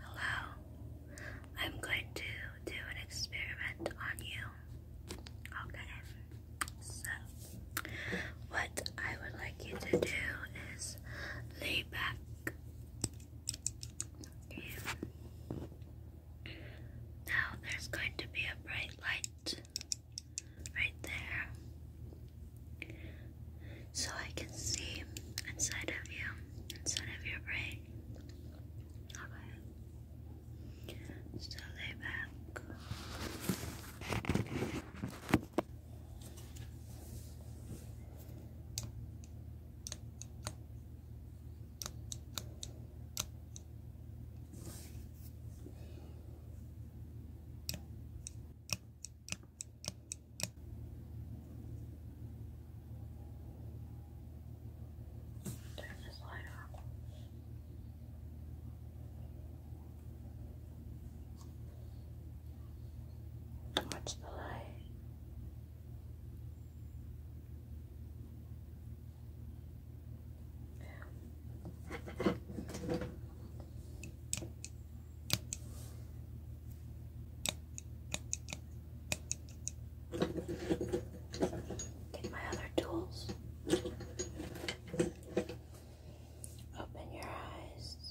Hello, I'm going to do an experiment on you. Okay, so what I would like you to do is lay back. Okay. Now there's going to be a bright light right there so I can see inside of you, inside of your brain. Okay. So lay back. Turn this light off. Watch the light. Take my other tools. Open your eyes.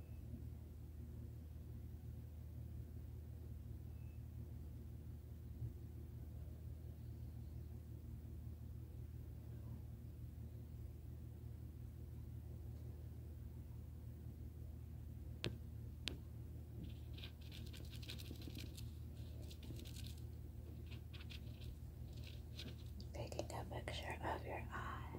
Taking a picture of your eye.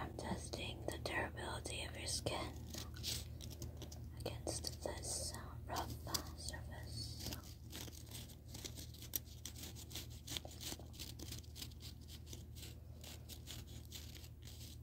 I'm testing the durability of your skin against this rough surface.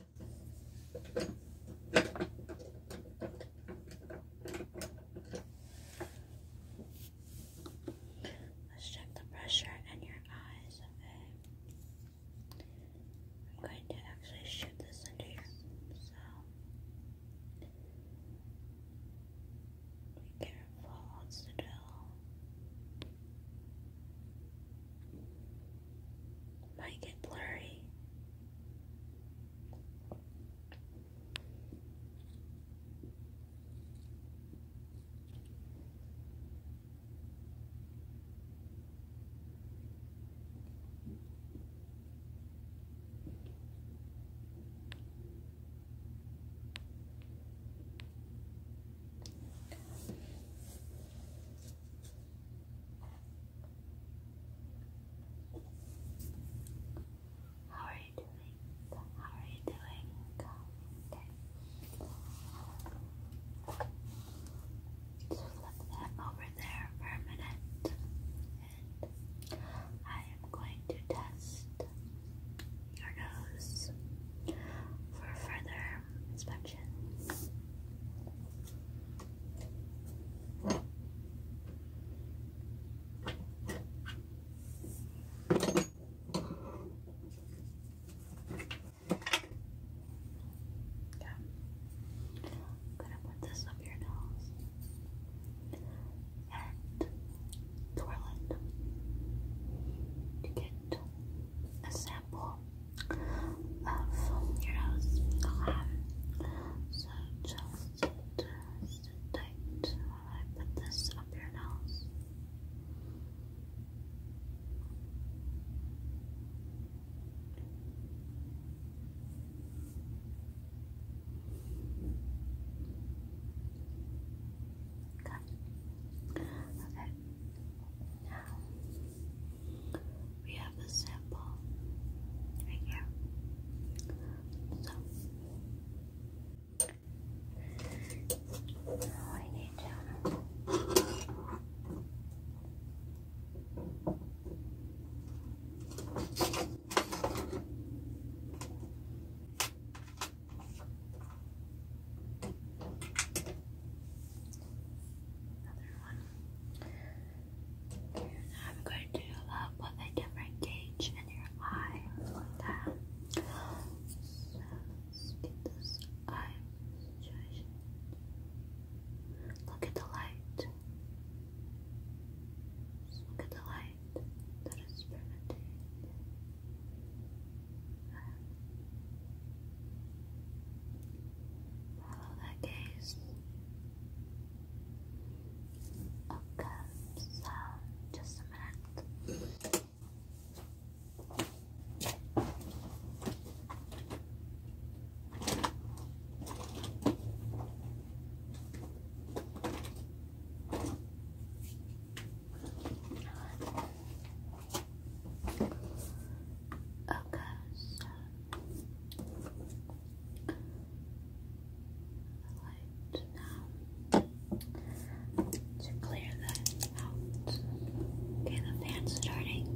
Let's check the pressure in your eyes, okay? I'm going to actually shoot this into your so be careful, hold still might get blurry. How are you doing? How are you doing? Okay. flip that over there for a minute, I am going to test your nose for further inspection. Yeah. I'm gonna put this up your nose and twirl it to get a sample uh, from your house. so just uh, while I put this up your nose. Okay. Okay. Now we have the sample right here. So now need to Another one. I'm going to uh, put a different gauge in your eye like that. So let's get this eye Look at the light. look at the light that is permitting. Follow the gaze. Okay, so just a minute. Okay, so light now to clear that out. Okay, the fan's starting.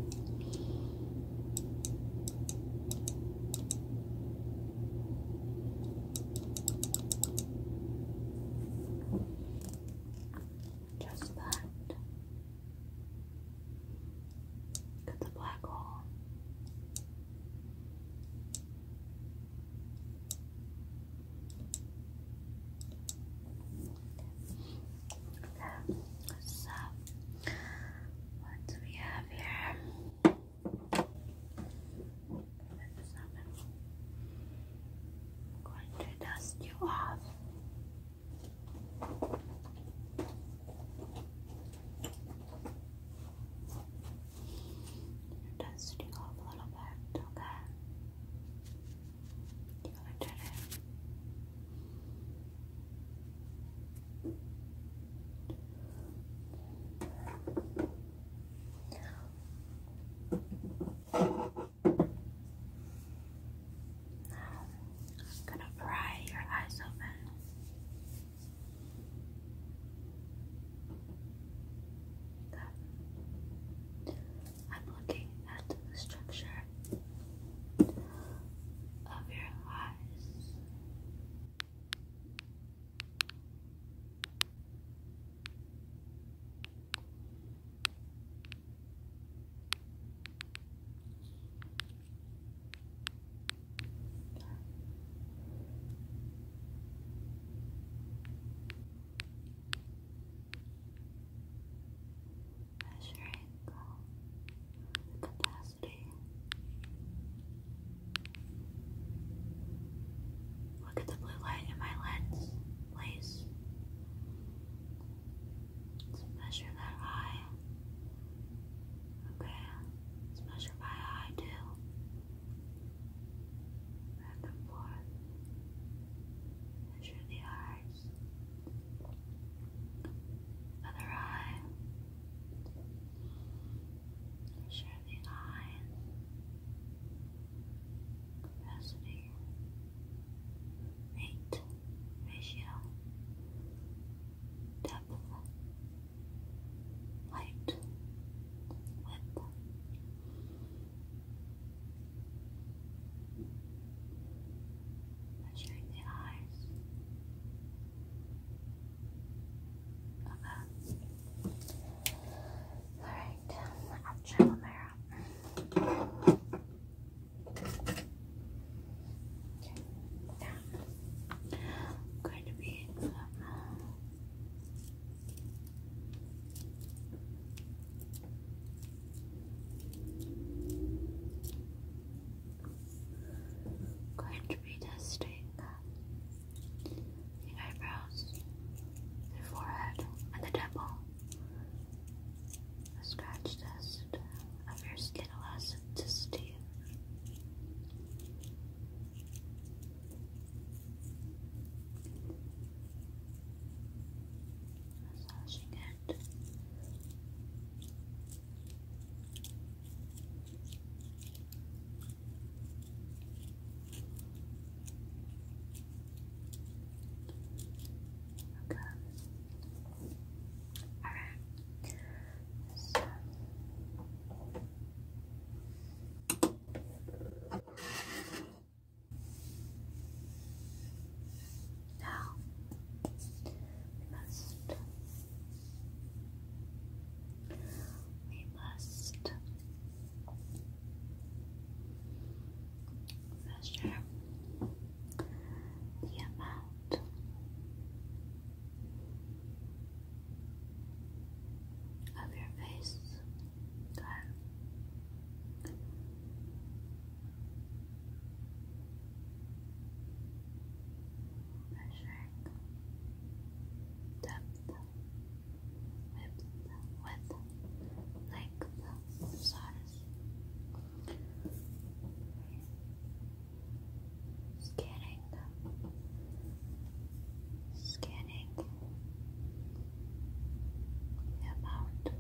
Just that. It's the black hole. Okay, so what do we have here? going to dust you off. You're dusting a little bit, okay? You did it. I'm gonna pry your eyes open. I'm looking at the structure of your eyes. Measuring the capacity. Look at the blue light in my lens, please. Let's measure that eye. Okay, let's measure by eye too. Back and forth. Measure the eyes. Other eye. Measure the eye. Capacity weight ratio, depth, height, width. Measuring the eyes. Okay. Alright, I'll check the mirror. Okay. Now, I'm going to be Going to be testing the eyebrows, the forehead, and the temple a scratch test of your skin elasticity. Massaging it. Okay. Alright. So now we must we must measure the amount of your face that measuring depth with width length Scanning. Scanning the amount of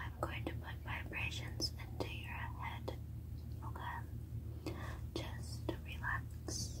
I'm going to put vibrations into your head, okay? Just relax.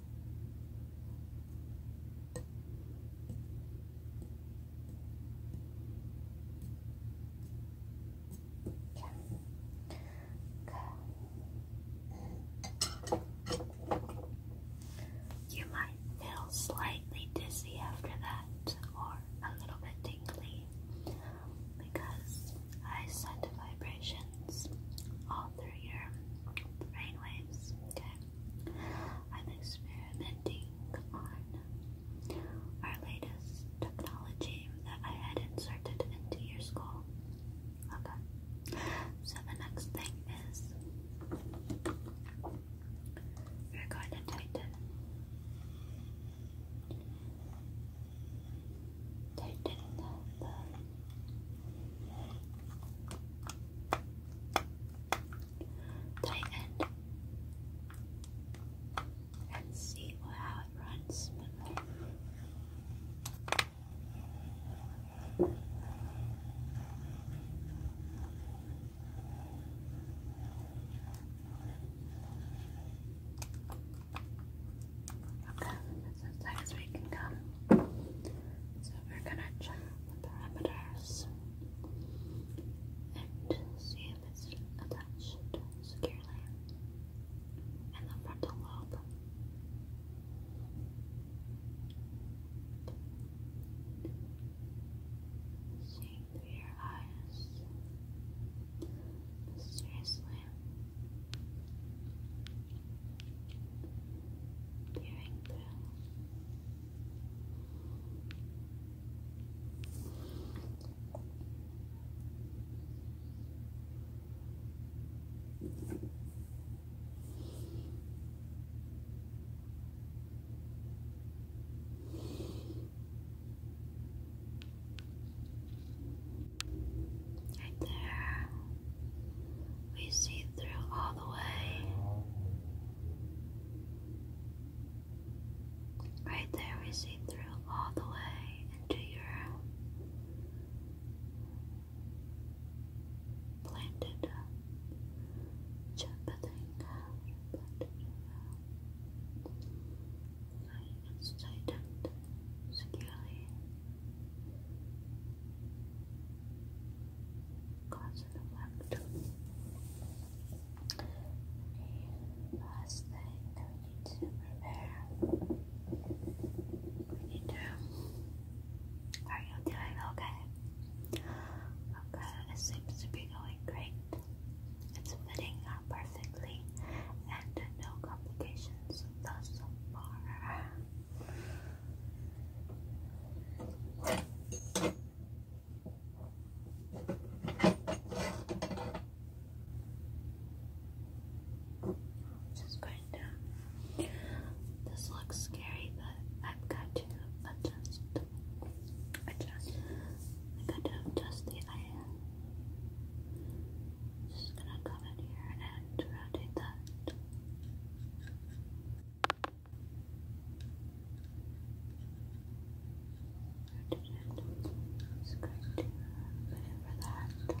You might feel slightly dizzy after that, or a little bit tingly, because I sent vibrations all through your brain Okay. I'm experimenting on our latest technology that I had inserted into your skull. Okay. So the next thing is we're going the tighten and see how it runs Okay, as tight as we can come. So we're gonna chop parameters and see if it's attached securely in the frontal lobe. Seeing through your eyes mysteriously your ankle. Right there. We see through all the way. Right there, we see through all the way into your planted Chapatinga. It's tightened securely cards last thing we need to prepare. We need to. Are you doing okay? Okay, it seems to be going great. It's fitting out perfectly and no complications thus far. Just going down. This looks scary, but I've got to adjust. Adjust. I got to adjust the iron. Just gonna come in here and rotate that. Where did it? It's good to maneuver that.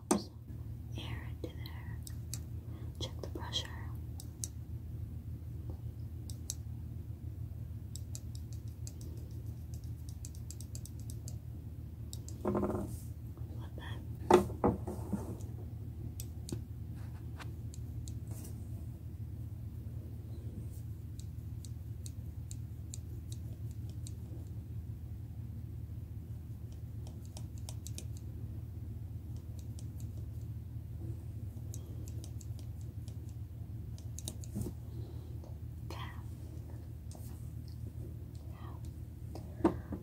air into there. Check the pressure. Flip it. Now,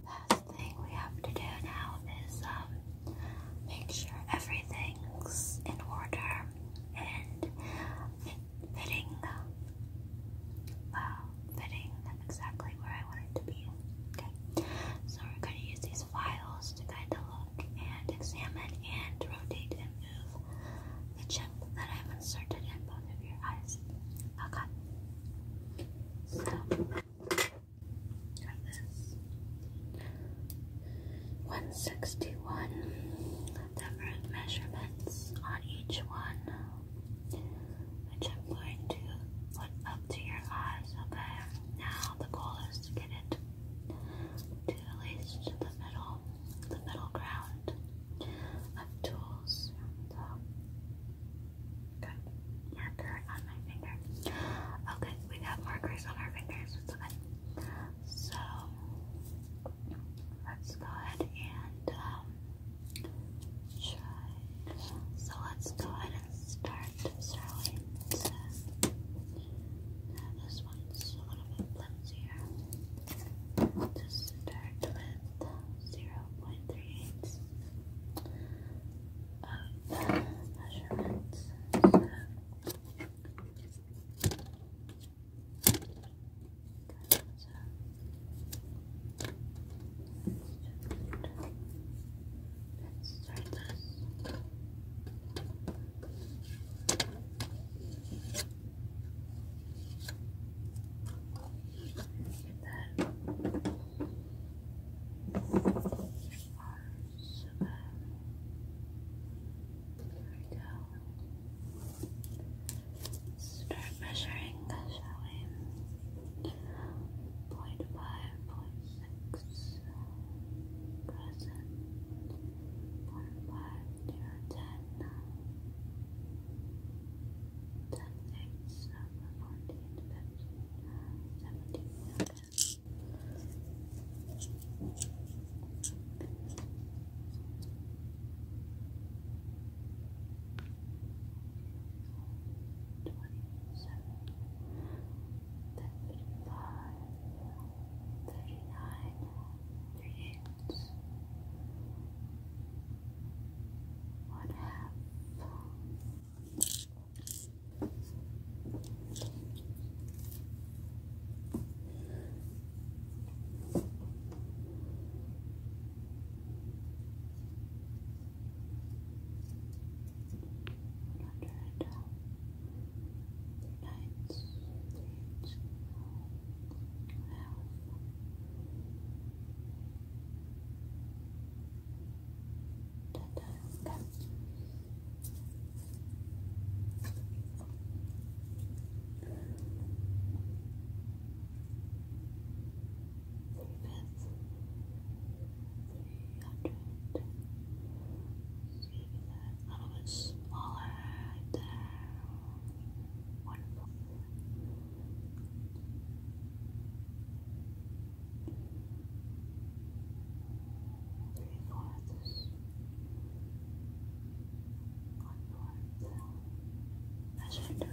last thing we have to do now is um, make sure everything's in order and fitting, uh, fitting exactly where I want it to be. Okay, so we're going to use these files to kind of look and examine and rotate and move the chip that I've inserted in both of your eyes. Okay, so this 161 different measurements on each one which I'm going to put up to your eyes, okay? Now the goal is to get it to at least the middle, the middle ground of tools. So, uh, good. Marker on my finger. Okay, we got markers on our fingers. So, let's go ahead and um, try. So, let's go ahead and start friend Sterling said this one's a little bit flimsier. Just 0.38 of measurements. Let's start this. that. Arms. There we go. Start measuring, the we? Point five, point six, present, point five, zero, ten, ten, eight, uh, seven, fourteen, fifteen, seventeen, eleven. Thank you twenty-seven, thirty-five, thirty-nine, thirty-eight, one half hundred nights, eight a little bit smaller right there. Wonderful. Three fourths. One fourth. Measure again.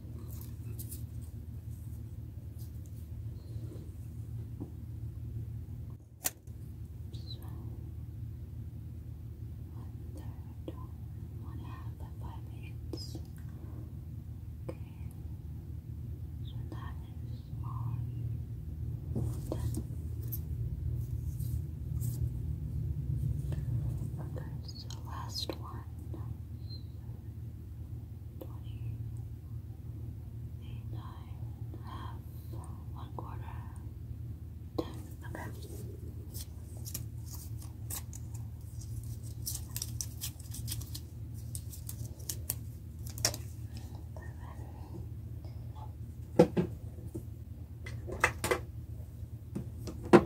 So, one third, one half five minutes. Okay, so that is all done. Okay, so last one twenty eight, nine, half, one quarter, ten. Okay. Perfect. Scratch the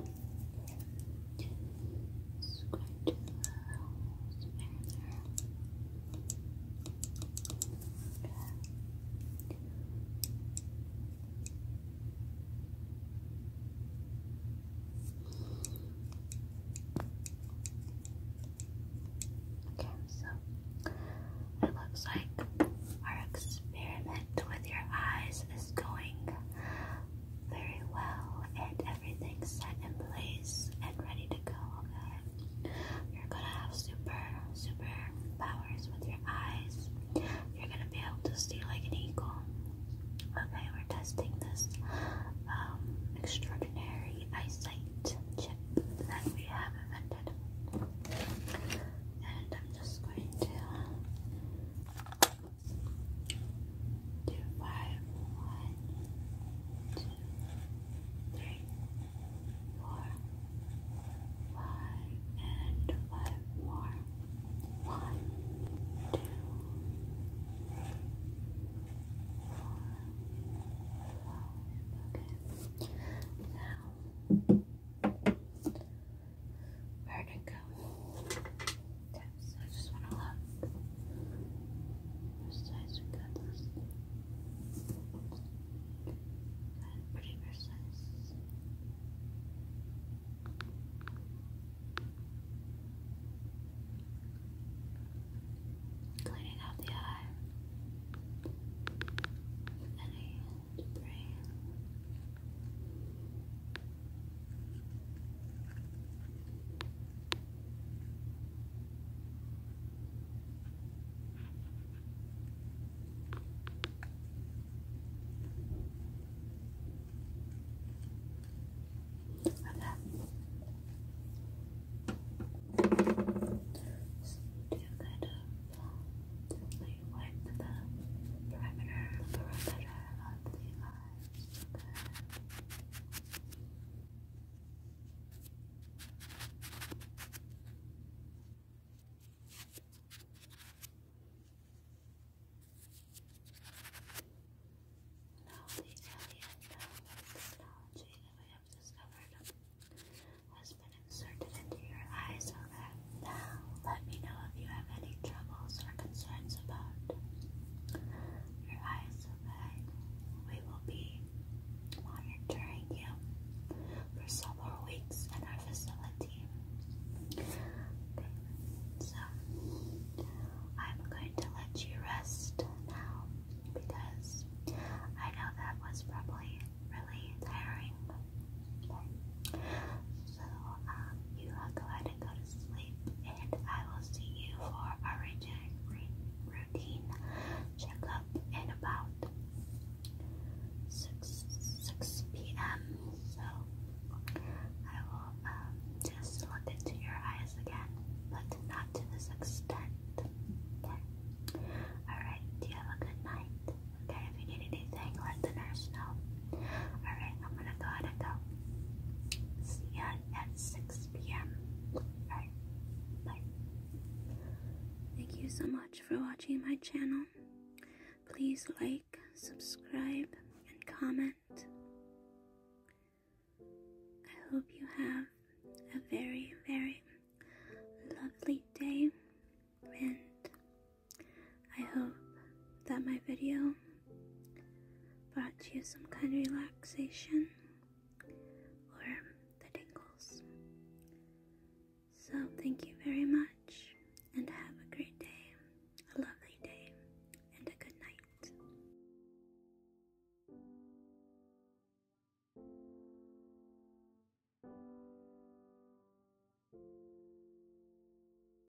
Okay, so it looks like our experiment with your eyes is going very well and everything's set in place and ready to go, okay? You're gonna have super, super powers with your eyes. You're gonna be able to see like an eagle. Okay, we're testing this um, extraordinary eyesight chip that we have invented. And I'm just going to two, five, one, two, three, four, five, and five more. One, two, three, four, five. Okay. Now Where'd go? I just want to look. Precise, we got pretty precise. Cleaning out the eye. Any brain. Like that. So do kind of the perimeter, perimeter of the uh, there. Now the alien technology that we have discovered has been inserted into your eyes so now let me know if you have any troubles or concerns about your eyes, okay? We will be monitoring you for several weeks in our facility. so I'm going to let you rest now because I know that was probably really tiring. So, um, you have to go to sleep, and I will see you for a routine checkup in about 6, 6 p.m. So, I will um, just look into your eyes again, but not to this extent. Alright, you have a good night. Okay, if you need anything, let the nurse know. Alright, I'm gonna go ahead and go. See you at 6 p.m. Alright, bye. Thank you so much for watching my channel. Please like, subscribe, and comment. I hope you have a very, very lovely day and I hope that my video brought you some kind of relaxation or the tingles. So, thank you very much and have a great day, a lovely day, and a good night.